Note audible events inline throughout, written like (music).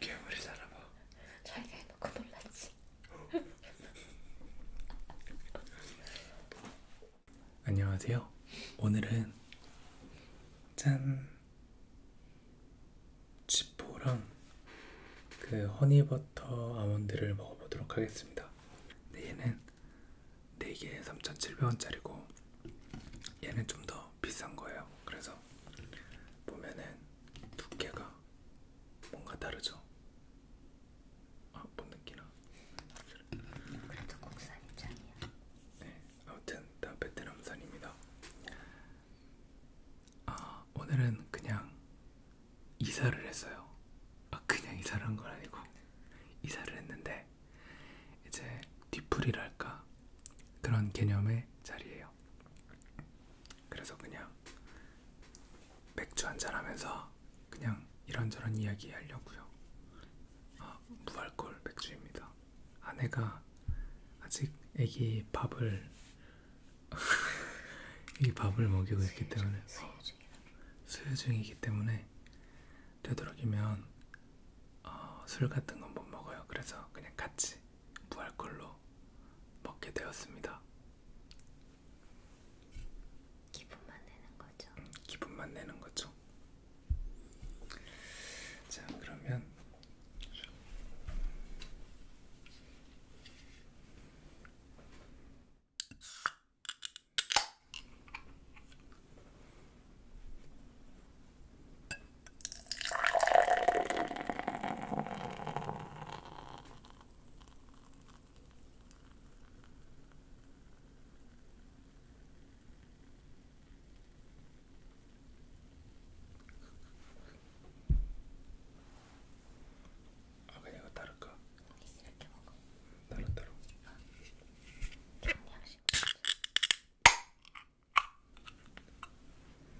괴물이 살아봐. 자기가 해놓고 놀랐지. 안녕하세요. 오늘은 짠 치포랑 그 허니버터 아몬드를 먹어보도록 하겠습니다. 근데 얘는 4개에 3,700원짜리고 얘는 좀 더 비싼 거예요. 그래서 보면은 두께가 뭔가 다르죠. 아, 못 느끼나? 그래도 국산 입장이야. 네, 아무튼 다 베트남산입니다. 아, 오늘은 그냥 이사를 했어요. 아, 그냥 이사를 한건 아니고 이사를 했는데 이제 뒤풀이랄까 그런 개념의 자리예요. 그래서 그냥 맥주 한잔 하면서 그냥 이런저런 이야기 하려고요. 아, 무알콜 맥주입니다. 아내가 아직 애기 밥을 (laughs) 이 밥을 먹이고 있기 때문에 어, 수유중이기 때문에 되도록이면 어, 술 같은 건 못 먹어요. 그래서 그냥 같이 무알콜로 먹게 되었습니다. 기분만 내는 거죠. 음, 기분만 내는 거죠. 자, 그러면 あれが誰か誰だろう 주시면 돼요.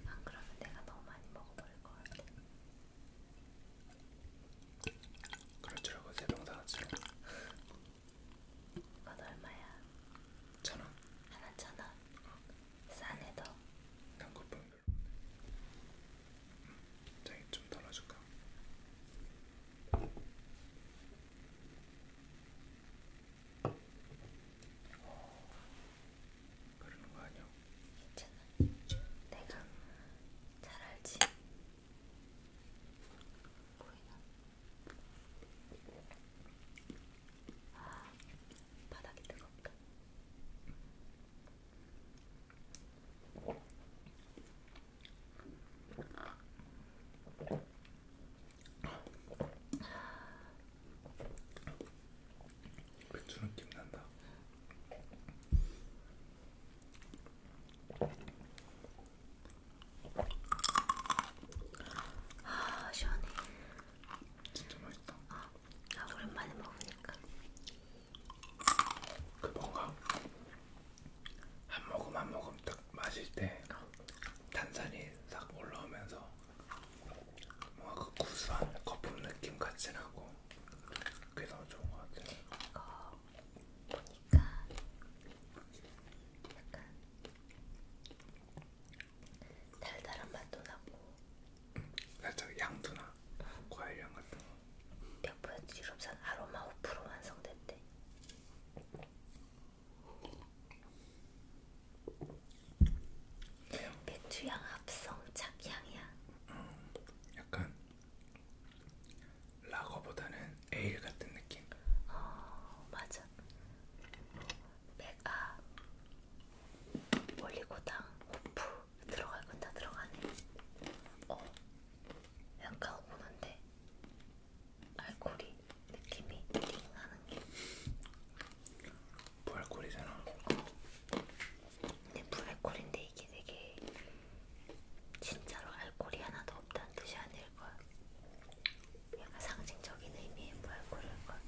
안 그러면 내가 너무 많이 먹어버릴 것 같아. 그럴 줄 알고 세병 사놨지. 그건 얼마야? 천 원. 하나 천 원. 싸네 더. 난 그뿐 별로. 음, 자기 좀 덜어줄까? 어, 그러는 거 아니야? 괜찮아. 내가 잘 알지. 보이나? 아, 바닥이 뜨겁다. 맥주 느낌 난다. 아 시원해. 진짜 맛있다. 아, 아 오랜만에 먹으니까. 그 뭔가 한 모금 한 모금 딱 마실 때 탄산이 딱 올라오면서 뭔가 그 구수한 거품 느낌 같이 나고 그게 너무 좋은 것 같아요. 이거 보니까 그러니까 약간 달달한 맛도 나고 살짝 양도나 과일향 같은 거. 몇 프로 유럽산 아로마 5% 완성됐대. 배추향 합성 착향이야. 음, 약간 라거보다는 에일 같은 느낌. 어 맞아. 맥아 올리고당 호프 들어갈 건 다 들어가네. 어 약간 오는데 알코올이 느낌이 띵하는 게 부알콜이잖아. 근데 부알콜인데 이게 되게 진짜로 알코올이 하나도 없다는 뜻이 아닐 거야. 약간 상징적인 의미의 부알콜일 거야.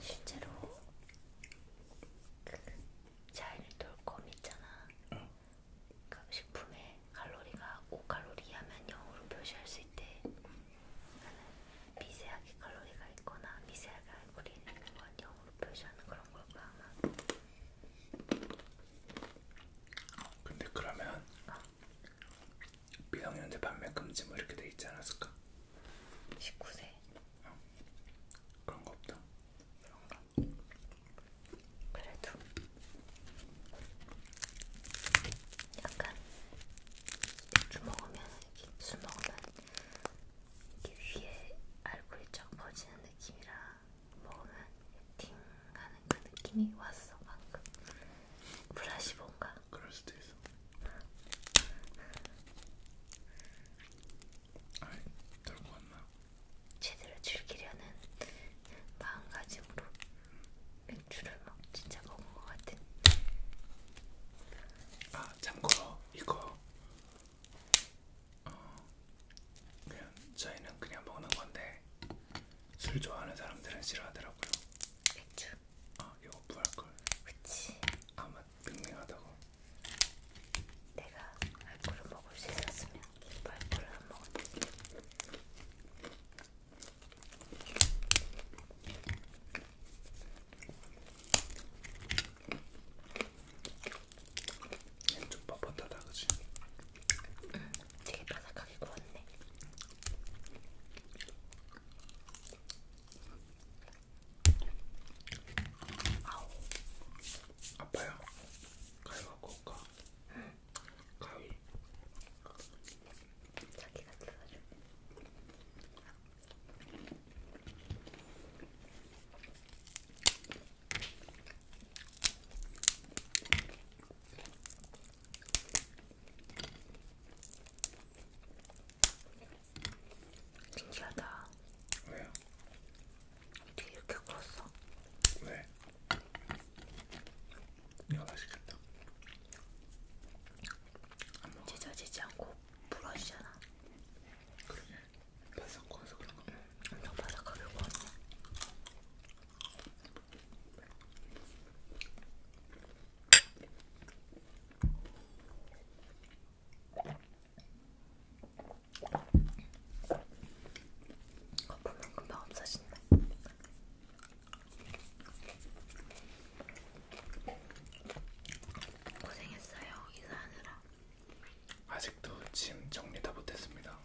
실제로 그 자일 돌검 있잖아. 어. 그러니까 식품의 칼로리가 5칼로리 하면 0으로 표시할 수 있대. 그러니까 미세하게 칼로리가 있거나 미세하게 알코올이 있는 건 0으로 표시하는 그런 걸 거야 아마. 근데 그러면 어? 미성년자 판매 금지 뭐 이렇게 돼 있지 않았을까? 19세. 어. 그런 거 없다. 그런가? 그래도 약간 맥주 먹으면 이렇게 술 먹으면 이렇게 위에 알코올이 쫙 퍼지는 느낌이라 먹으면 팅하는 그 느낌이 왔어 방금 플라시본가? 그럴 수도 있어. 아이 들고 왔나? 제대로 즐기려는 마음가짐으로 맥주를 막 진짜 먹은 것 같은. 아 참고로 이거 어, 그냥 저희는 그냥 먹는 건데 술 좋아하는 사람들은 싫어하더라고요. 맥주. 어, 아 이거 무알콜. 그치. 아마 맹맹하다고. 내가 알코올을 먹을 수 있었으면 말고를 안 먹었지. 좀 뻣뻣하다 그치? 응 되게 바삭하게 구웠네 아우 아파요? 가위가 구울까? 응 가위 자기가 뜯어줘 신기하다 왜요? 어떻게 이렇게 굴었어? 왜? 이거 맛있겠다. 찢어지지 않고 부러지잖아. 그러게. 바삭 구워서 그런가? 엄청 바삭하게 구웠어. 거품은 금방 없어진다. 고생했어요 이사하느라. 아직도 짐 정리 다 못했습니다.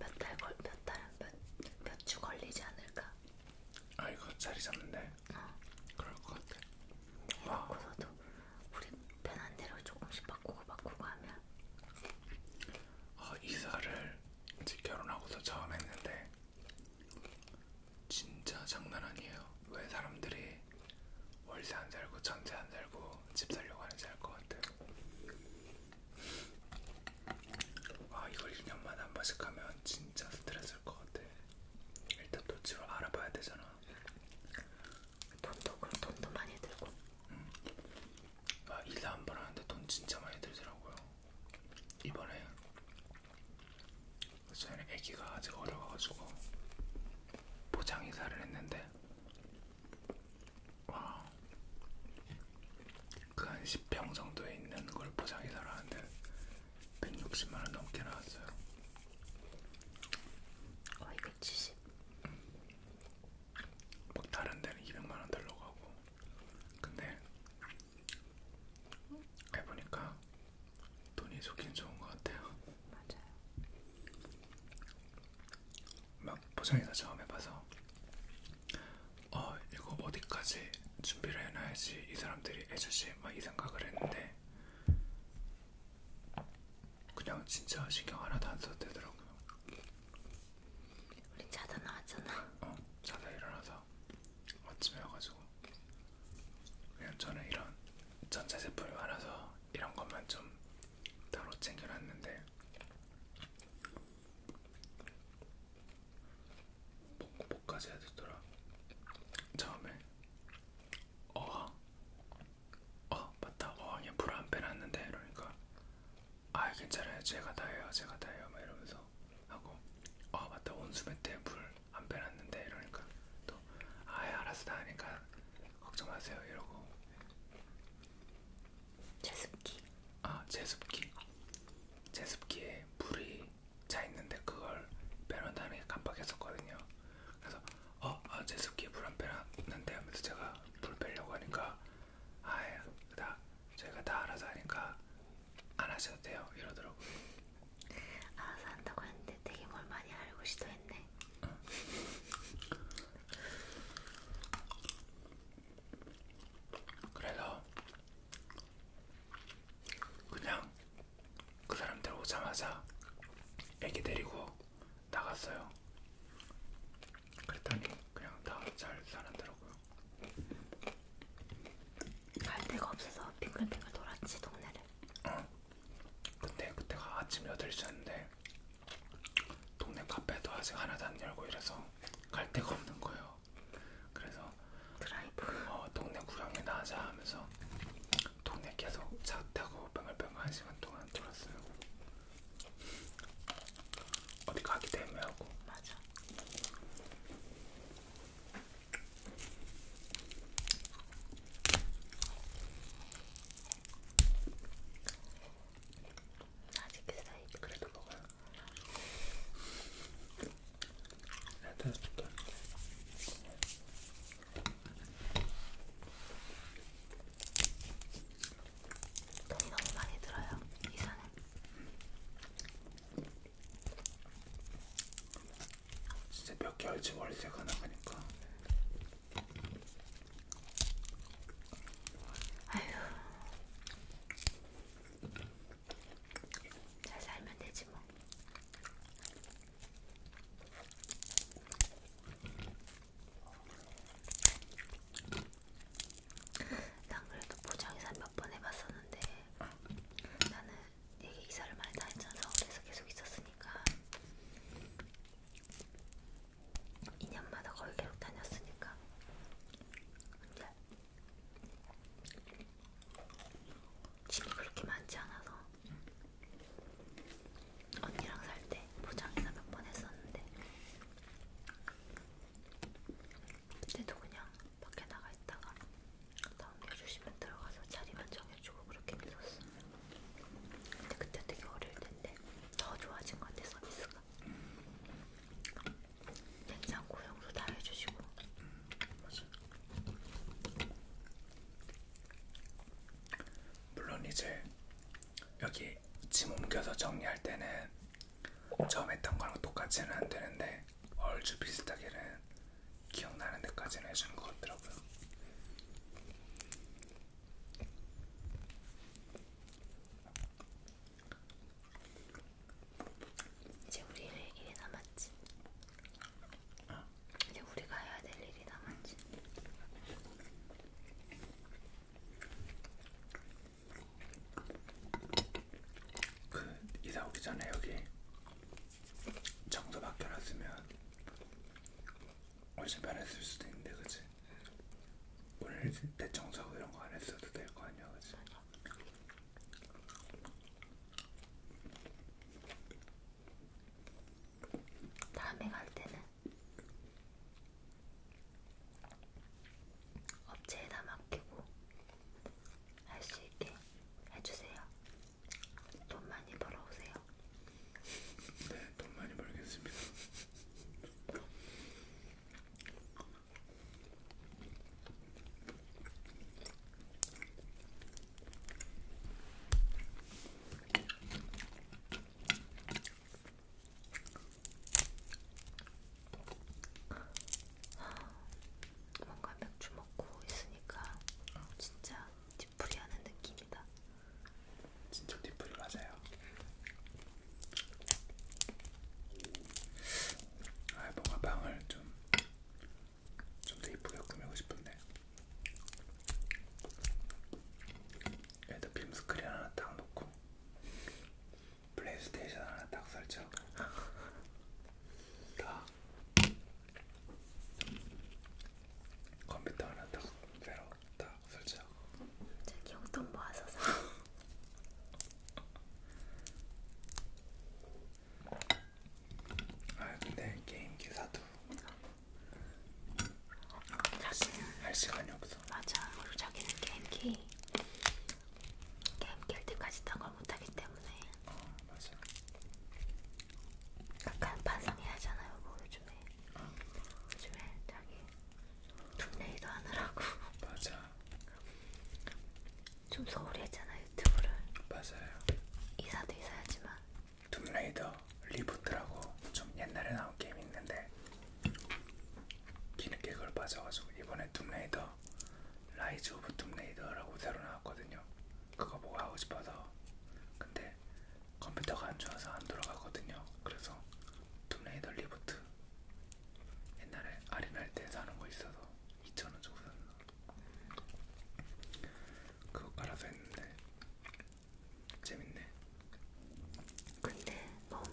몇달 걸, 몇 달, 몇, 몇주 걸리지 않을까? 아 이거 자리 잡는데? 어. 그럴 것 같아. 해놓고서도 우리 편한 대로 조금씩 바꾸고 바꾸고 하면. 어, 이사를 이제 결혼하고서 처음 했는데 진짜 장난 아니에요. 왜 사람들이 월세 안 살고 전세 안 살고 집 살려고 하는지 알 것 같아요. 아 이걸 1년만에 한 번씩 하면 진짜 스트레스일 것 같아. 일단 또 집을 알아봐야 되잖아. 돈도 그럼 돈도 많이 들고. 응. 아 일사 한번 하는데 돈 진짜 많이 들더라고요. 이번에 저는 애기가 아직 어려가지고 포장 이사를 했는데 와, 그한 10평 정도에 있는 걸 포장 이사를 하는데 160만 원 넘게 나왔어요. 어, 이거 70. 음. 막 다른 데는 200만 원 달라고 하고, 근데 해보니까 돈이 좋긴 좋은 것 같아요. 맞아요. 막 포장이나 처음 해봐서 어 이거 어디까지 준비를 해놔야지 이 사람들이 해주지 막 이 생각을 했는데 그냥 진짜 신경 하나도 안 써도 되더라고요. 우리 자다 나왔잖아. 어 자다 일어나서 아침에 와가지고 그냥 저는 이런 전자 제품이 많아서 이런 것만 좀 따로 챙겨놨는데 먹고 뭐까지 해야 되더라 처음에 어항 어 맞다 어항에 물안 빼놨는데 이러니까 아 괜찮아요 제가 다 해요 제가 다 해요 막 이러면서 하고 아 맞다 온수매트에 물안 빼놨는데 이러니까 또 아예 알아서 다 하니까 걱정 마세요 이러고 제습기 아 제습기 제습기에 물이 차 있는데 그걸 빼놓는다는 게 깜빡했었거든요 그래서 어? 아, 제습기에 물 안 빼놨는데 하면서 제가 물 빼려고 하니까 아예 다 저희가 다 알아서 하니까 안 하셔도 돼요 이러더라고요 알아서 한다고 했는데 되게 뭘 많이 알고 시도했네. (laughs) 그래서 그냥 그 사람들 오자마자 애기 데리고 나갔어요. 그랬더니 그냥 다 잘 살았더라고요. 갈 데가 없어서 빙글빙글 돌았지 동네를. 어. 근데 그때가 아침 8시였는데 동네 카페도 아직 하나도 안 열고 이래서 갈 데가 없는 거예요. 그래서 드라이브 어, 동네 구경이나 하자 하면서 동네 계속 차 타고 뱅글뱅글 한 시간 동안 돌았어요. 어디 가기도 애매하고 맞아. 아직 사이 그래도 먹어. 일단 좋다. 돈이 너무 많이 들어요 이사는. 진짜 몇 개월째 월세가 나가니까. 아휴. 잘 살면 되지 뭐. 난 그래도 포장이사 몇번 해봤었는데 나는 되게 이사를 많이 다녔잖아. 서울에서 계속 있었으니까. 2년마다 거의 계속 다녔으니까. 근데 짐이 그렇게 많지 않아서 언니랑 살때 포장이나 몇 번 했었는데 그때도 그냥 밖에 나가 있다가 넘겨주시면 들어가서 자리만 정해주고 그렇게 했었어. 근데 그때 되게 어릴 텐데 더 좋아진 것 같아 서비스가. 냉장고 용도 다 해주시고. 맞아. 물론 이제 여기 짐 옮겨서 정리할 때는 처음 했던 거랑 똑같지는 안 되는데 얼추 비슷하게는 기억나는 데까지는 해주는 것 같더라고요. 이제 우리 일이 남았지. 어? 이제 우리가 해야 될 일이 남았지. 그 이사 오기 전에 여기 정도 바뀌어놨으면 훨씬 편했을 수도 있는데 그치? 오늘 대청소하고 이런 거 안 했어도 될 거 아니야 그치? 다음에 갈 때는 업체에다 맡기고 할 수 있게 해주세요. 돈 많이 벌어오세요. 네, 돈 많이 벌겠습니다. 뭔가 맥주 먹고 있으니까 진짜 뒤풀이하는 느낌이다. 진짜 뒤풀이 맞아요. 아 뭔가 방을 좀 좀 더 이쁘게 꾸미고 싶은데 여기다 빔스크린 하나 딱 놓고 플레이스테이션 하나 딱 설치하고 (laughs) 다 컴퓨터 하나 딱 새로 딱 설치하고 저기 용돈 모아서 사 (laughs) 아, 근데 게임기 사도 자기는 할 시간이 없어. 맞아. 그리고 자기는 게임기 게임 깰 때까지 딴걸 못하기 때문에 아 맞아. 약간 반성해야 하잖아요. 뭐 요즘에 아. 요즘에 자기 툰레이도 하느라고. 맞아. (laughs) 좀 소홀히 했잖아 유튜브를. 맞아요. 이사도 이사하지만. 툼레이더 리부트라고 좀 옛날에 나온 게임 있는데 뒤늦게 그걸 빠져가지고 이번에 툼레이더 라이즈 오브 툼레이더라고 새로 나왔거든요. 그거 보고 하고 싶어서 근데 컴퓨터가 안 좋아서 안 돌아가거든요. 그래서 툼레이더 리부트 옛날에 아리날 때 사는 거 있어서 2,000원 주고 샀나 그거 깔아서 했는데 재밌네. 근데 너무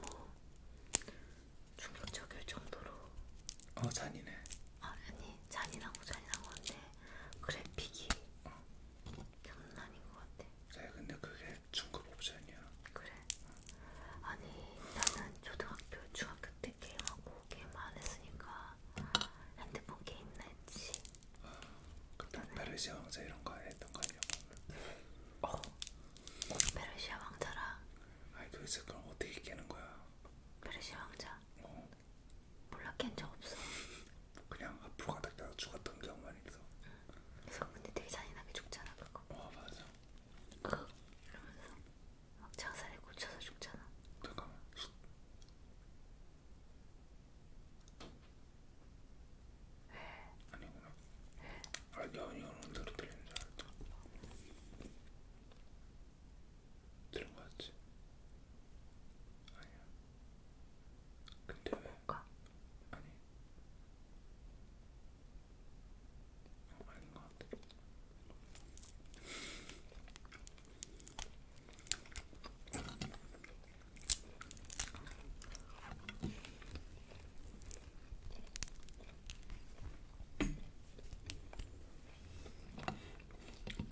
충격적일 정도로 어 잔이네. 아니 잔인하고 잔인한 건데 그래픽이 장난 아닌 것 같아. 네, 근데 그게 중급 옵션이야. 그래. 아니 나는 초등학교, 중학교 때 게임하고 게임 안 했으니까 핸드폰 게임나 했지. 그때 페르시아 왕자 이런 거 했던 거 아니야? 어. 페르시아 왕자라. 아니 도대체 그럼 어떻게 깨는 거야? 페르시아 왕자. 어. 몰락한 적 없어. 그냥 앞으로 가다가 죽었던 경우만 있어. 그래서 근데 되게 잔인하게 죽잖아 그거. 어 맞아. 그 이러면서 막 장살에 꽂혀서 죽잖아. 잠깐만. 아니구나. 아 연이 오는 대로 들리는 줄 알았다. 들은 거 같지? 아니야. 근데 왜? 아니. 어, 아닌 거 같아.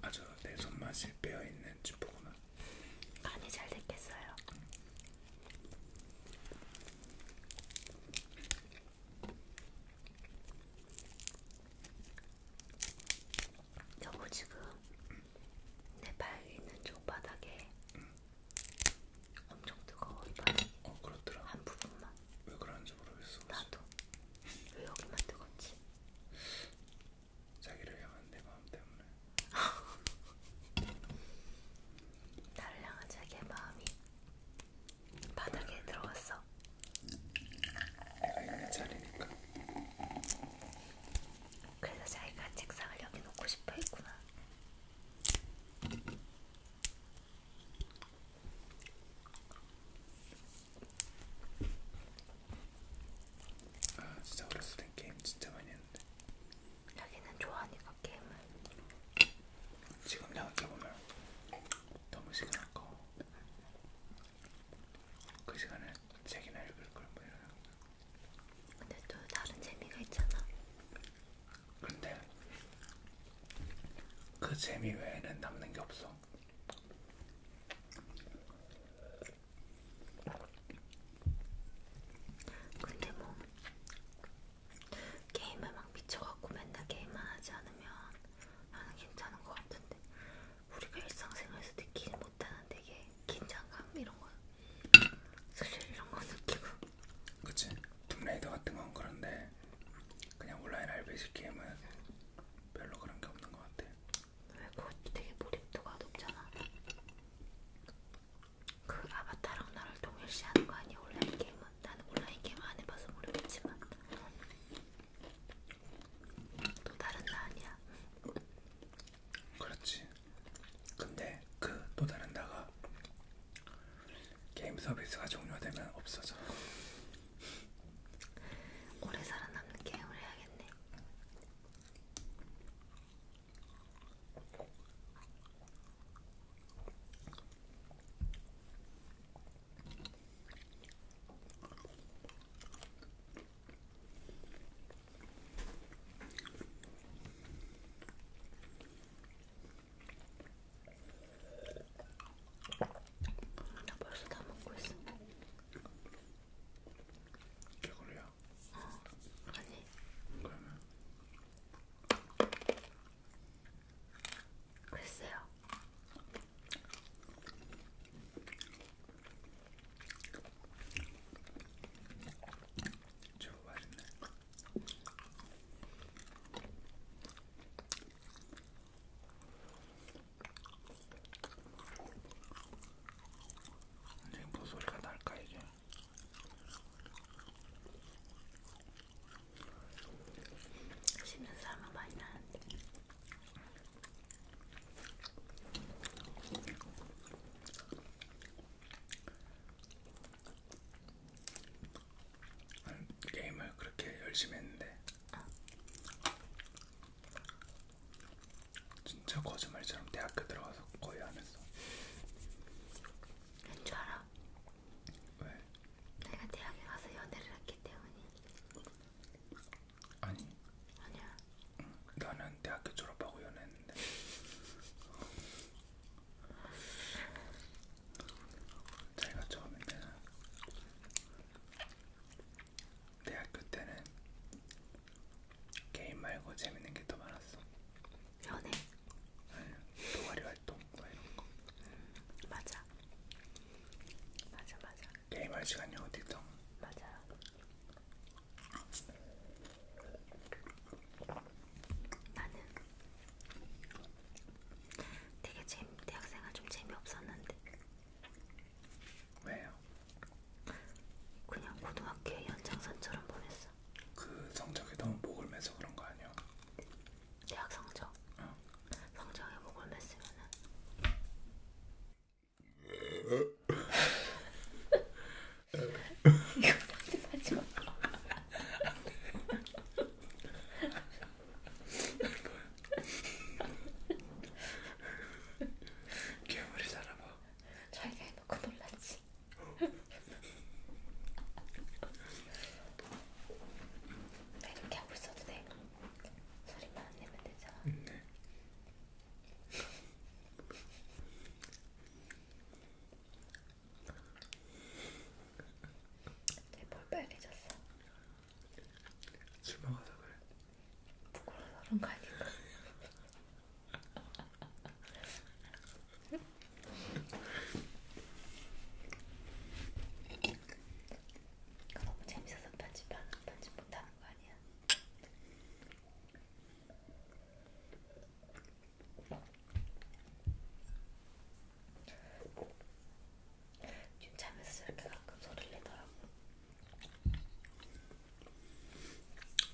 아주 내 손맛이 빼어있는 찌포구나 간이 잘 됐겠어요 여보 지금 응. 내 발이 있는 쪽 바닥에 응. 엄청 뜨거워 이 바닥이 어, 그렇더라 한 부분만 왜 그런지 모르겠어 나도 왜 여기만 뜨겁지 자기를 향한 내 마음 때문에 (laughs) 나를 향한 자기의 마음이 바닥에 들어왔어. 자기의 자리니까. 그래서 자기가 책상을 여기 놓고 싶어 했구나. 아 진짜 어렸을 땐 게임 진짜 많이 했는데 자기는 좋아하니까 게임을 지금 생각해보면 너무 시간 아까워 그 시간에 책이나 읽을 걸 뭐 이런 근데 또 다른 재미가 있잖아 근데 그 재미 외에는 남는 게 없어 근데 뭐 게임에 막 미쳐갖고 맨날 게임만 하지 않으면 나는 괜찮은 것 같은데 우리가 일상생활에서 느끼지 못하는 되게 긴장감 이런 거 슬슬 이런 거 느끼고 그치 툼레이더 같은 건 그런데 그냥 온라인 RPG 게임은 별로 그런 게 없는 것 같아. 왜 그것도 되게 몰입도가 높잖아. 그 아바타랑 나를 동일시하는 거 아니야 온라인 게임은? 나는 온라인 게임 안 해봐서 모르겠지만 또 다른 나 아니야. 그렇지. 근데 그 또 다른 나가 게임 서비스가 종료되면 없어져. 오래 살아남는 게임을 해야겠네. 나 벌써 다 먹고 있어. 개구리야? 어, 아니. 그러면? 글쎄요. 저거 맛있네. 지금 뭐 소리가 날까 이게? 씹는 사람은 많이 나는데. 게임을 그렇게 열심히 했는데 어. 진짜 거짓말처럼 대학교 들어가서 거의 안 했어. 한줄 알아? 왜? 내가 대학에 가서 연애를 했기 때문이. 아니. 아니야. 응, 나는 대학교 졸업하고 연애했는데. 자기가 처음에는 대학교 때는 게임 말고 재밌는 게 더 많았어. 연애. 응, 동아리 활동 뭐 이런 거. 음, 맞아. 맞아 맞아. 게임 할 시간이 어디 있던? 맞아. 나는 되게 재미 대학생활 좀 재미없었는데 왜요? 그냥 고등학교의 연장선처럼 보냈어. 그 성적이 너무 목을 매서 그런 거 아니야? 대학 성적. 어. 성적에 목을 맸으면은. (laughs) 이거 편집하지 마. (laughs) 괴물이 살아봐. 자기가 해놓고 놀랐지. 나 이렇게 하고 있어도 돼. 소리만 안 내면 되잖아. 네. 내볼 빨개졌어. 술 먹어서 그래. 부끄러워서 그런 거 아닌가? 이거 너무 재밌어서 편집 안, 편집 못하는 거 아니야? 잠에서 이렇게 가끔 소리를 내더라고.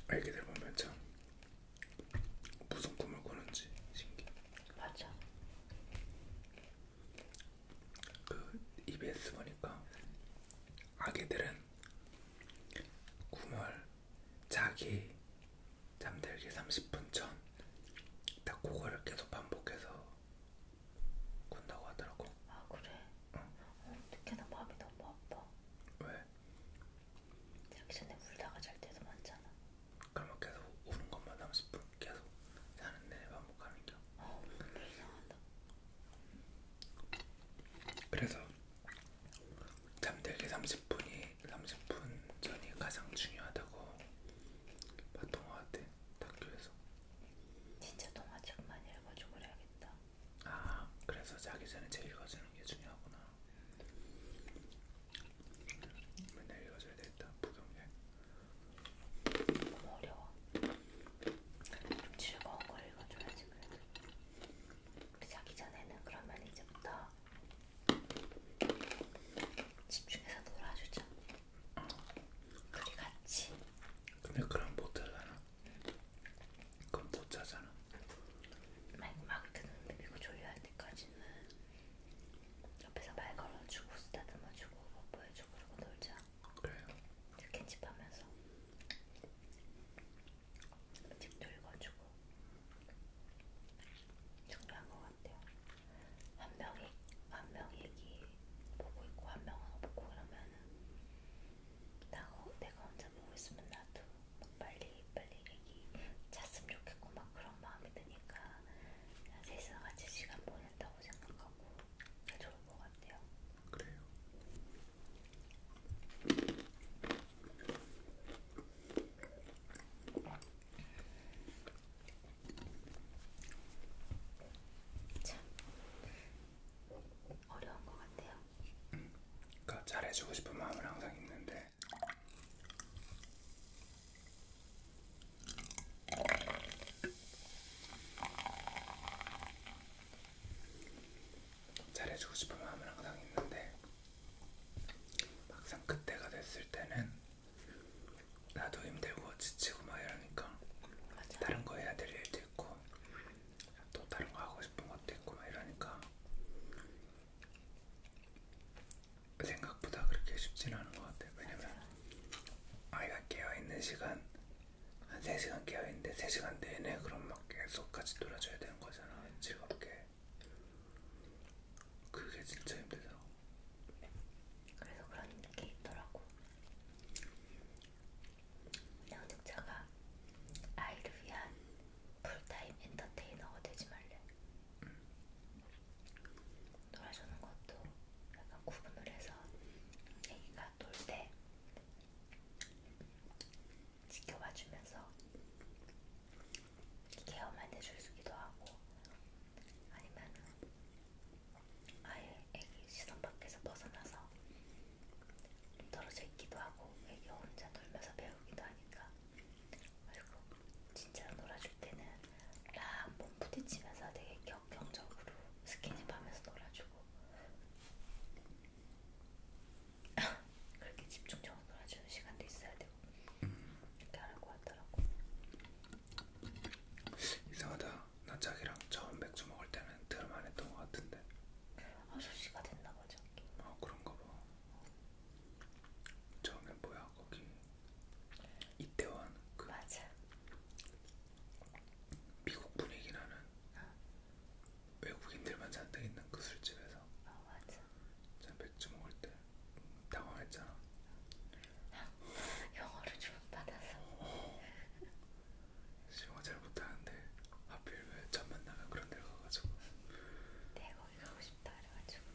아기들 보면 참 무슨 꿈을 꾸는지 신기해. 맞아. 그 EBS 보니까 아기들은 꿈을 자기 잠들기 30분 전 딱 그거를 계속 반복해서 군다고 하더라고. 아 그래? 응. 어, 어떻게 나 마음이 너무 아파. 왜? 자기 전에 울다가 잘 때도 많잖아. 그러면 계속 우는 것만 30분 계속 자는 내 반복하는 겨. 어, 아, 불쌍하다. 그래서 잠들기 30분이 30분 전이 가장 중요하다고 보통 하대. 학교에서 진짜 동화 책만 읽어주고 그래야겠다. 아, 그래서 자기 전에 책 읽어주는 게 중요하구나. 맨날 읽어줘야 되겠다. 부경제. 너무 어려워. 좀 즐거운 걸 읽어줘야지 그래도. 그 자기 전에는 그러면 이제부터 집중해서 놀아주자. 그리 같이. 근데 그럼 못 자잖아. 그럼 못 자잖아. 막 듣는데 그리고 졸려할 때까지는 옆에서 말 걸어주고 쓰다듬어주고 뭐 보여주고 그러고 놀자. 그래요. 이렇게 집 하면서 집도 읽어주고 중요한 것 같아요. 한 명이 한 명이 얘기 보고 있고 한 명은 없고 그러면 나 어, 내가 혼자 보고 있으면 나도 막 빨리 빨리 얘기 잤으면 좋겠고 막 그런 마음이 드니까 그냥 셋이서 같이 시간 보낸다고 생각하고 그게 좋을 것 같아요. 그래요. 참 어려운 것 같아요. 음, 그러니까 잘해주고 싶은 마음은 항상 있는데. 잘해주고 싶은 마음은 항상 있는데 막상 그때가 됐을 때는 나도 힘들고 지치고 막 이러니까 맞아. 다른 거 해야 될 일도 있고 또 다른 거 하고 싶은 것도 있고 막 이러니까 생각보다 그렇게 쉽지는 않은 것 같아요. 왜냐면 아이가 깨어있는 시간 한 3시간 깨어있는데 3시간 내내 그럼 막 계속 같이 놀아줘야 되는 거잖아. 즐겁게. 그게 진짜 힘들더라고. 그래서 그런 게 있더라고. 양육자가 아이를 위한 풀타임 엔터테이너가 되지 말래. 놀아주는 것도 약간 구분을 해서 애기가 놀 때 지켜봐주면서 케어만 해줄 수기도 하고 아니면은 아예 애기 시선 밖에서 벗어나서 좀 떨어져 있기도 하고 애기 혼자 놀면서 배우기도 하니까 그리고 진짜로 놀아줄 때는 락몸 부딪히면서 되게 격경적으로 스킨십하면서 놀아주고 (laughs) 그렇게 집중적으로 놀아주는 시간도 있어야 되고 음. 이렇게 하라고 하더라고. 이상하다. 기억나. 나 자기랑 처음 맥주 먹을 때는 들만 했던 것 같은데. 아저씨가 됐나 봐 저기. 어 그런가 봐. 처음엔 뭐야 거기 이태원 그 맞아. 미국 분위기 나는 어. 외국인들만 잔뜩 있는 그 술집에서. 아 어, 맞아. 자 맥주 먹을 때 당황했잖아. 영어를 주문받아서 영어 잘 못하는데 하필 왜전 만나면 그런 데로 가가지고 네 거기 가고 싶다 그래가지고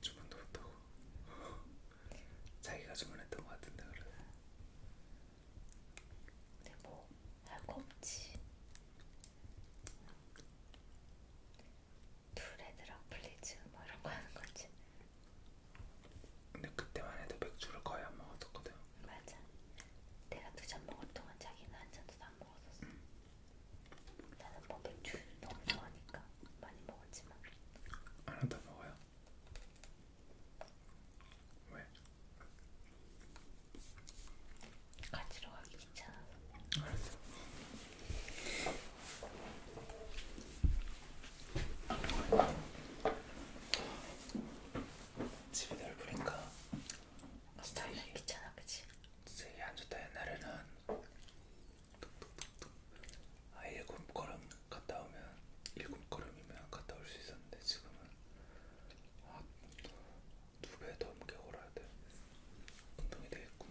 주문도 못하고 (laughs) 자기가 주문했던 것 같은데 그래 근데 뭐 알거 없지 두레드랑 플리즈 뭐 이런 거 하는 거지. 근데 그때만 해도 맥주를 거의 안 먹었었거든. 맞아. 내가 두 잔 먹을 동안 자기는 한 잔도 안 먹었었어. 응. 음. 나는 뭐 맥주 너무 좋아하니까 많이 먹었지만. 하나 더 먹어요. 왜? 가지러 가기 귀찮아서. 알았어. 집에 넓으니까 그러니까. 스타일이 있잖아 그치? 스타일이 안 좋다 옛날에는 아예 걸음 갔다 오면 일곱 걸음이면 갔다 올 수 있었는데 지금은 아, 두배 넘게 걸어야 돼 운동이 되겠군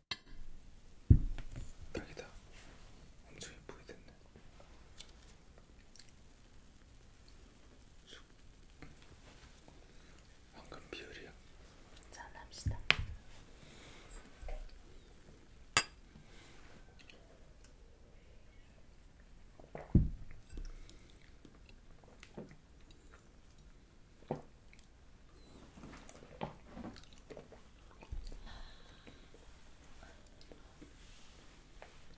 딱이다. 엄청 예쁘게 됐네. 방금 비율이야. 잘합시다.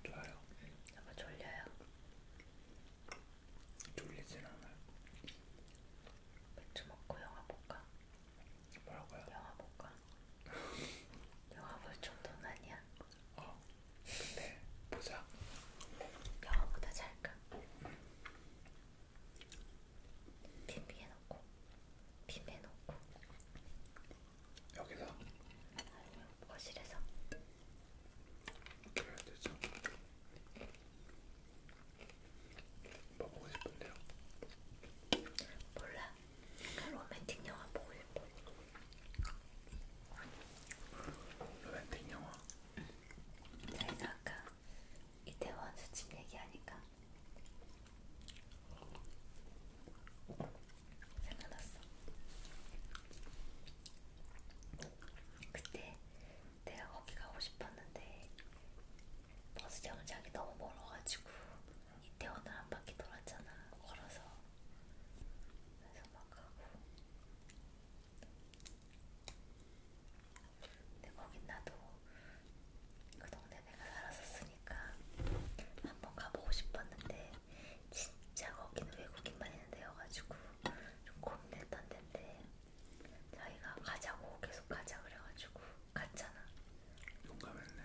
좋아요. 아마 졸려요. 졸리진 않아요. 맥주 먹고 영화 볼까? 뭐라고요? 영화 볼까? (laughs) 영화 볼 정도는 아니야. 어. 근데 보자. 영화보다 잘까? 빈비에 음. 놓고. 빔에 넣고 여기서? 아니면 거실에서 그래야 되죠 뭐 보고 싶은데요? 몰라 약간 로맨틱 영화 보고 싶어 로맨틱 영화? 그래서 아까 이태원 수집 얘기하니까 생각났어. 그때 내가 거기 가고 싶었는데 버스 정류장이 너무 멀어가지고 이태원을 한 바퀴 돌았잖아 걸어서 그래서 막 가고 근데 거긴 나도 그 동네 내가 살았었으니까 한번 가보고 싶었는데 진짜 거기는 외국인만 있는 데여가지고 좀 고민했던 데인데 자기가 가자고 계속 가자 그래가지고 갔잖아. 용감했네.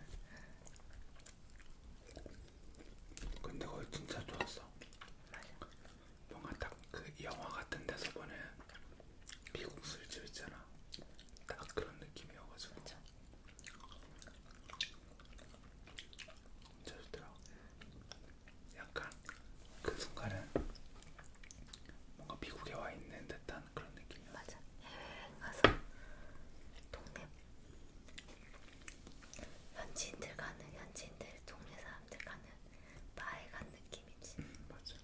근데 거기 진짜 좋았어. 맞아. 뭔가 딱 그 영화 같은 데서 보는 미국 술집 있잖아. 딱 그런 느낌이어가지고. 그쵸. 진짜 좋더라. 약간 그 순간은 뭔가 미국에 와 있는 듯한 그런 느낌이야. 맞아. 해외여행 가서 동네 현지인들 가는 현지인들 동네 사람들 가는 바에 간 느낌이지. 음, 맞아.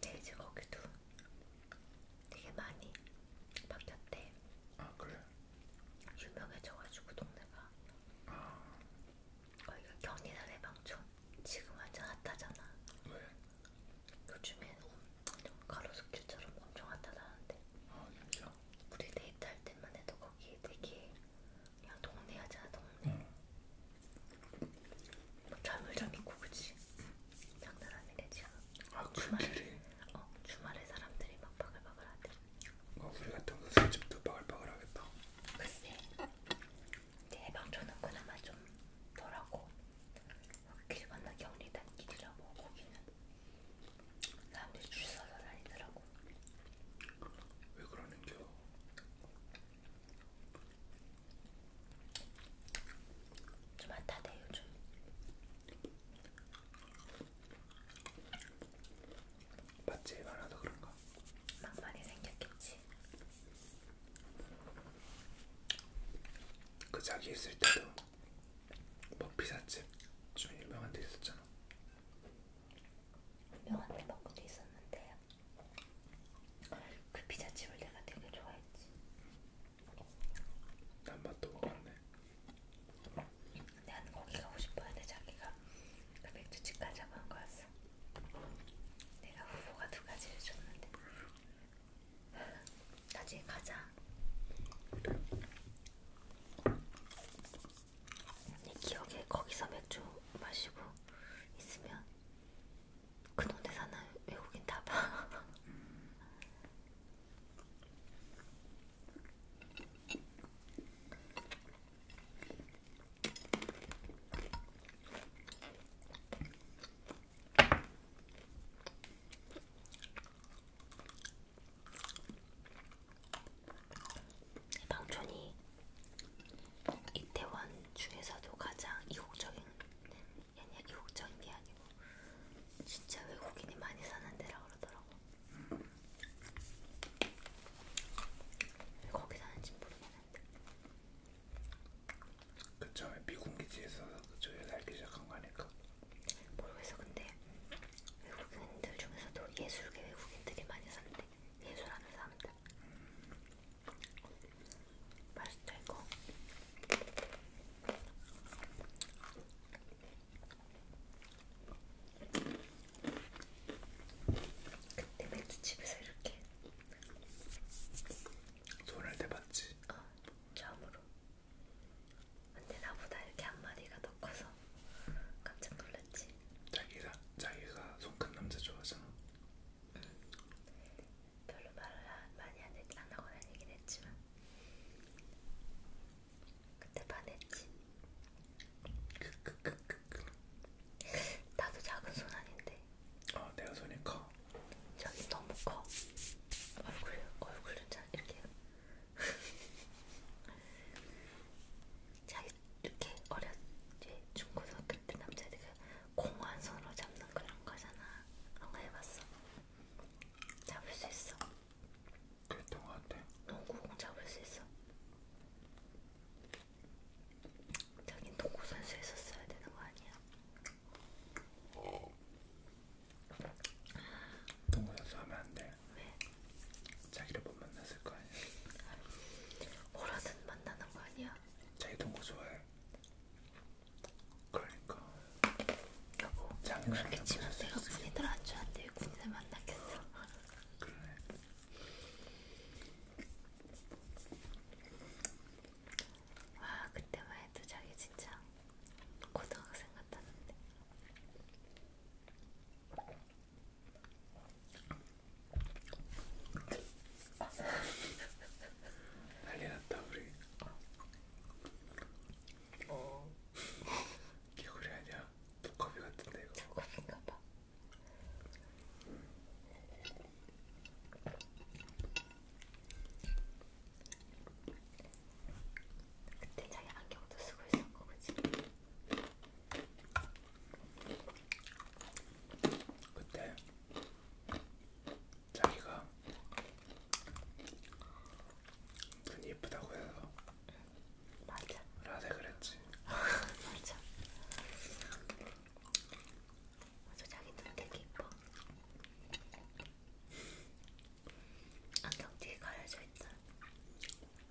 돼지고기도 네, 되게 많이 바뀌었대. 아 그래? 유명해져가지고 동네가. 아. 거기가 경리단 해방촌. 지금 완전 핫하잖아. 왜? 요즘엔 좀 가로수길처럼 엄청 핫하다는데. 아 진짜? 우리 데이트할 때만 해도 거기 되게 그냥 동네 하잖아 동네 뭐 잠을 좀 있고 그치? 장난 아니네 지금 아 주말에 그래? 어 주말에 사람들이 막 바글바글 하대 뭐 우리 같은 거 술집도 바글바글 하겠다 글쎄 이제 해방촌은 그나마 좀 덜하고 길 건너 경리단 길이라 뭐 거기는 사람들이 줄 서서 다니더라고 왜 그러는겨? 좀 핫하대 요즘. 맛집이 많아서 그런가? 막 많이 생겼겠지. 그 자기 있을 때도 뭐 피자집 좀 유명한 데 있었잖아. 유명한 햄버거도 있었는데요. 그 피자집을 내가 되게 좋아했지. 난 맛도 못 봤네. 난 거기 가고 싶었는데 자기가 그 맥주집 가자고 한 거였어. 내가 후보가 두 가지를 줬는데 나중에 가자. 내 기억에 거기서 맥주 마시고 있으면 그 동네 사는 외국인 다 봐. (laughs) 방촌이 이태원 중에서도 가장 이국적인 아니야 이국적인 게 아니고 진짜 외국인이 많이 사는 데라 그러더라고. 왜 거기 사는지 모르겠는데. 그 처음에 미군 기지에서 그쪽에 살기 시작한 거 아닐까? 모르겠어 근데 외국인들 중에서도 예술계 외국인들이 많이 산대. 예술하는 사람들 맛있다 이거 그때 맥주집에서 이렇게 손을 대봤지? 어, 처음으로 근데 나보다 이렇게 한마디가 더 커서 봤어. 깜짝 놀랐지. 자기가 자기가 손 큰 남자 좋아하잖아. 응. 음. 별로 말을 많이 안, 했, 안 하거나 얘긴 했지만 그때 반했지. 그, 그, 그, 나도 작은 손 아닌데. 어, 내가 손이 커. 저기 너무 커. 얼굴 얼굴은 잘 이렇게. (laughs) 자 이렇게 어렸지 중고등학교 때 남자애들이 공한 손으로 잡는 그런 거잖아. 그런 거 해봤어. 잡을 수 있어. 어떤 거 같아? 농구공 잡을 수 있어. 자긴 농구 선수 있었어야 되는 거 아니야? 농구 선수 하면 안 돼. 왜? 자기를 못 만났을 거 아니야. 호라는 만나는 거 아니야. 자기 동거 뭐 좋아해. 그러니까. 여보. 그렇게 치면 내가 군인들 안 좋아한데 군인을 만났겠어. 그래. 와 그때만 해도 자기 진짜 고등학생 같았는데. 난리 났다 우리 어 개구리 아니야? 두꺼비 같은데 이거 두꺼비인가 봐 그때 자기 안경도 쓰고 있었고 그치? 그때 자기가 눈이 예쁘다고 해서 맞아 라섹을 했지 (laughs) 맞아 맞아 자기 눈 되게 예뻐 안경 뒤에 가려져 있다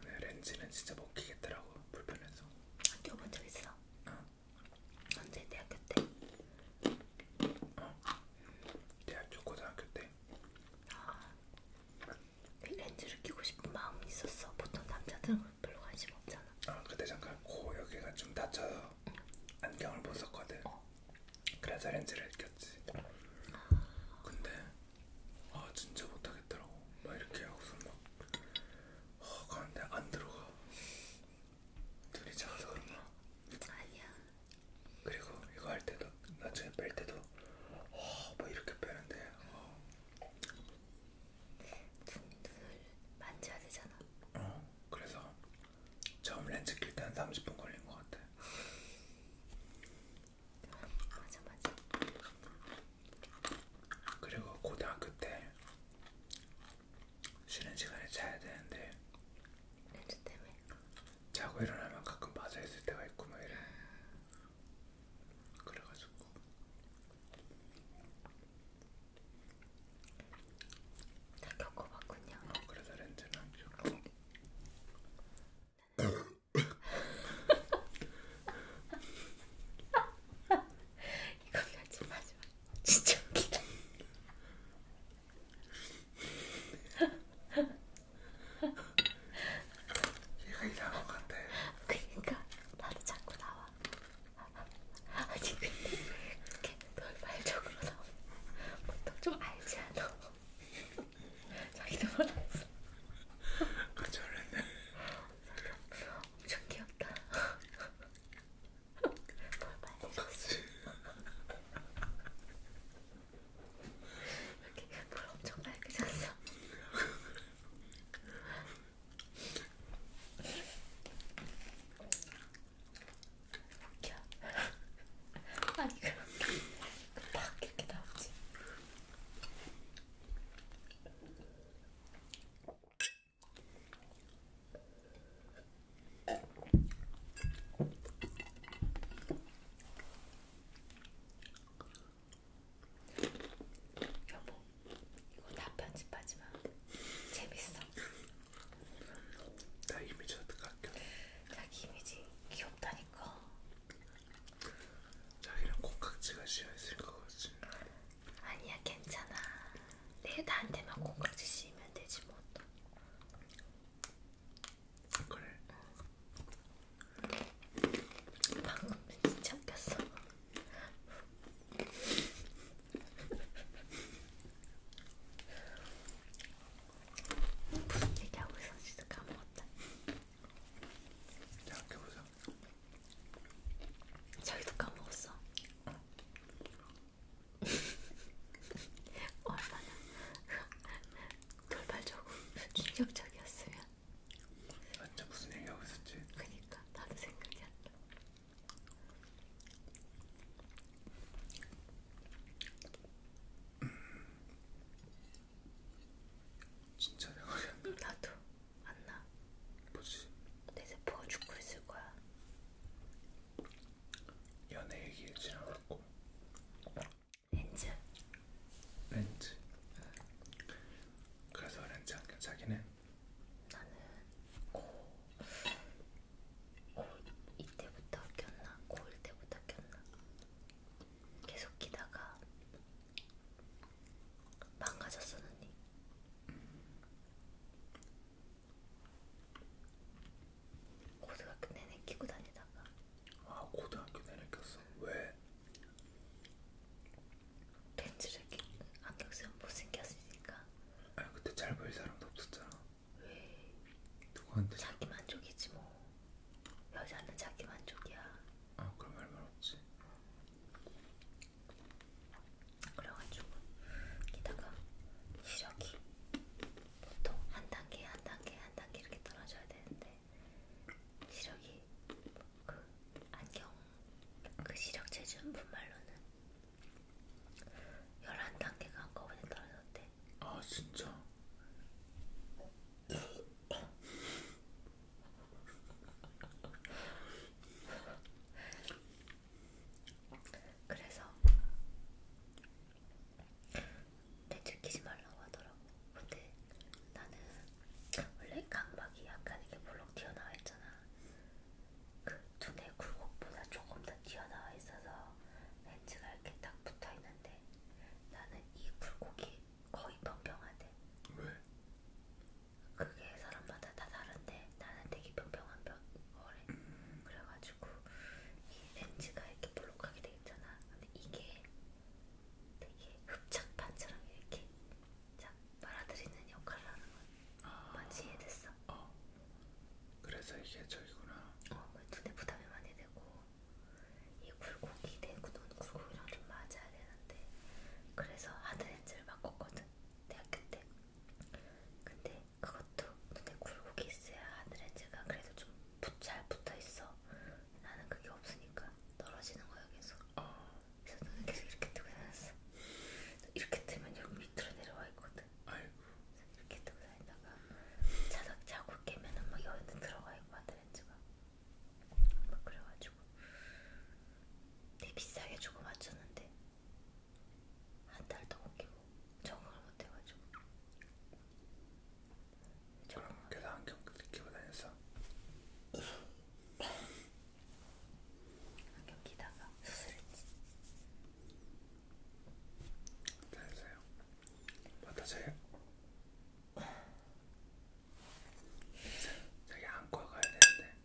네, 렌즈는 진짜 먹히겠더라고 불편해서. 안 껴본 적 있어? 어. 언제 대학교 때? 어. 대학교 고등학교 때. 아. 그 렌즈를 끼고 싶은 마음이 있었어. 보통 남자들은 별로 관심 없잖아. 어, 그때 잠깐 코 여기가 좀 다쳐서 응. 안경을 못 썼거든. 어. 그래서 렌즈를 꼈지. 아. 근데 아 진짜 못하겠더라고 막 이렇게 하고서 막 어, 가는데 안 들어가 눈이 작아서 그런가 아니야 그리고 이거 할 때도 나중에 뺄 때도 어, 막 이렇게 빼는데 어. 눈을 만져야 되잖아 어 그래서 처음 렌즈 낄 때는 30분 걸린 것 같아 맞아 맞아. 그리고 고등학교 때 쉬는 시간에 자야 되는데 렌즈 때문에 자고 일어나면 가끔 빠져 있을 때가 있고 막 이래. 그래가지고 다 겪어봤군요. 어, 그래서 렌즈는 안 음. 겪고. (laughs) 이거 편집 하지 마. 진짜 웃기다. (laughs) 얘가 이상한 것 같아. 그러니까 나도 자꾸 나와. 아니 근데 이렇게 돌발적으로 나오면 보통 뭐 좀 알지 않아? 자기도 몰랐어. 깜짝 놀랐네. 엄청 귀엽다. 똑같이. 이렇게 볼 엄청 밝게졌어. 웃겨. 아니 그렇게 팍 이렇게 나오지. 여보, 이거 다 편집하지 마. 재밌어. 나 이미지 어떻게 할게? 자기 이미지 귀엽다니까. 자기는 콩깍지가 씌어있을 것 같지 아니야 괜찮아 내일 나한테만 콩깍지 씌우면 되지 뭐 그래 방금 진짜 웃겼어 (laughs) 무슨 얘기하고 있었지도 까먹었다 생각해보자. 자기도 까먹었어. 어. 얼마나 (laughs) 어, (laughs) 돌발적으로 충격적이었으면. 완전 무슨 얘기하고 있었지? 그니까 나도 생각이 안 나. 음. 진짜 생각이 안 나. 나도 안 나. 뭐지? 내 세포가 죽고 있을 거야. 연애 얘기를 지나갔고. 렌즈. 렌즈. 그래서 렌즈 안경 자기네. 나는 고. 고 이때부터 꼈나? 고일 때부터 꼈나? 계속 끼다가 망가졌어 언니. 고등학교 내내 끼고 다니다가. 아 고등학교 내내 꼈어. 왜? 렌즈를 끼 안경 쓰면 못생겼으니까. 아 그때 잘 보일 사람도 없었잖아. 왜? 누구한테? 자기 만족이지 뭐. 여자는 자기 만족이야. 아 그럼 할말 없지. 그래가지고 게다가 시력이 보통 한 단계 한 단계 한 단계 이렇게 떨어져야 되는데 시력이 그 안경 그 시력 재준 분 말로는 11단계가 한꺼번에 떨어졌대. 아 진짜? (laughs) 그래서 내 들키지 말라고 하더라고. 근데 나는 원래 강박이 약간 이게 볼록 튀어나와 있잖아. 그 눈의 굴곡보다 조금 더 튀어나와 있어서 렌즈가 이렇게 딱 붙어 있는데 나는 이 굴곡이 거의 평평하대. 왜? 그게 사람마다 다 다른데 나는 되게 평평한 편 거래. 그래가지고 이 렌즈가 이렇게 볼록하게 돼 있잖아. 근데 이게 되게 흡착판처럼 이렇게 쫙 빨아들이는 역할을 하는 건 아, 마치 이해됐어. 어. 그래서 이게 저기구나. 어, 눈에 부담이 많이 되고 이 굴곡이 내눈 굴곡이랑 좀 맞아야 되는데 그래서 하드렌즈를 바꿨거든 대학교 때 근데 그것도 눈에 굴곡이 있어야 하드렌즈가 그래도 좀잘 붙어있어 나는 그게 없으니까 떨어지는 거야 계속 어. 그래서 눈을 계속 이렇게 뜨고 다녔어 이렇게 뜨면 여기 밑으로 내려와 있거든 아이고. 그래서 이렇게 뜨고 다니다가 자다 자고 깨면은 막 여기 들어가 있고 하드렌즈가 막 그래가지고 되게 비싸게 주고 맞췄는데 한 달도 못 끼고 적응을 못 해가지고 그럼 계속 안경 끼고 다녔어? 안경 끼다가 수술했지 다녔어요? 맡아줘요? 저기 안과 가야 되는데.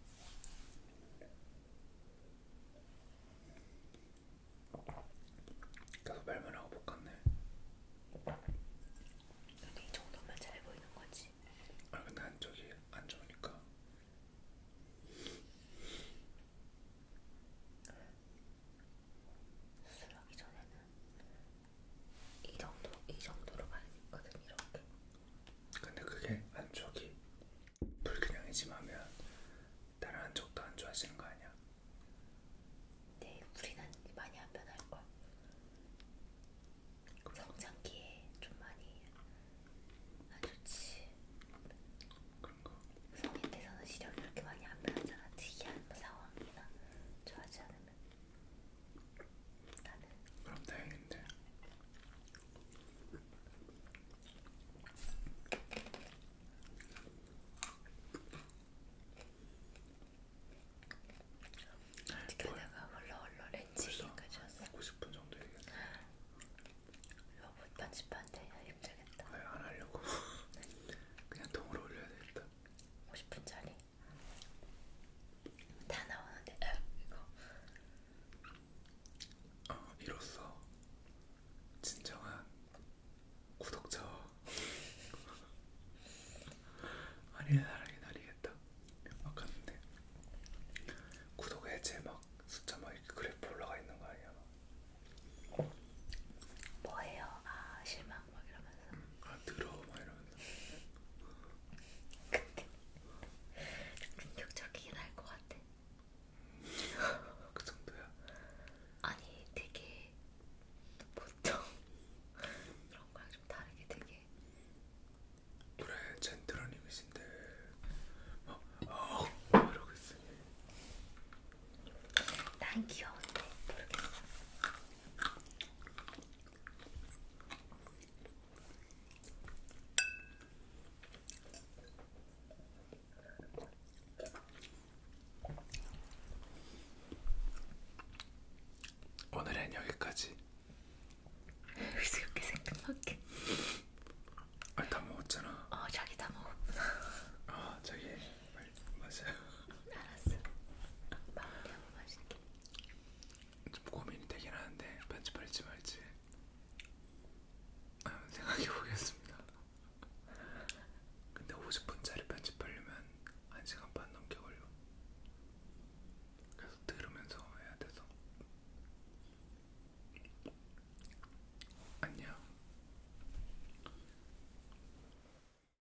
계속 말만 하고 못 갔네. 근데 이 정도만 잘 보이는 거지. 아 근데 안쪽이 안 좋으니까. 수술하기 전에는 이 정도, 이 정도로 많이 있거든 이렇게. 근데 그게 안쪽이 불균형이 심하면 다른 안쪽도 안 좋아지는 거 아니야? 네, 우리는 많이 안 변할 걸. 성장기에 좀 많이 안 좋지. 그런가? 성인 돼서는 시력이 그렇게 많이 안 변하잖아. 특이한 상황이나 좋아하지 않으면. 나는 그럼 다행인데 어떻게다가 얼렁얼렁 렌치기까지 왔어 50분 정도 얘기했어 로봇 편집한테 힘들겠다 왜안 하려고 (laughs) 그냥 통으로 올려야 되겠다 50분짜리 다 나오는데 아, 이거 어, 이로써 진정한 구독자 (laughs) 아니의 사랑이 날리겠다 막 갔는데 구독 해제 막 숫자 막 이렇게 그래프 올라가 있는 거 아니야? 뭐. 뭐예요? 아 실망 막 이러면서 음, 아 들어 막 이러면서 근데 충격적이긴 할 것 같아. 그 정도야? 아니 되게 보통 그런 거랑 좀 다르게 되게 그래 젠틀한 이미지인데 어, 어, 이러고 있으니 난 귀여운데 모르겠어 오늘은 여기까지. 그래서 이렇게 생각밖에. 아다 먹었잖아. 어 자기 다 먹었구나. 아 자기 빨리 마세요. 알았어. 마무리 한번 마실게. 좀 고민이 되긴 하는데 편집할지 말지 한번 아, 생각해 보겠습니다. 근데 50분짜리 편집하려면 1시간 반 넘게 걸려. 계속 들으면서 해야 돼서. 안녕.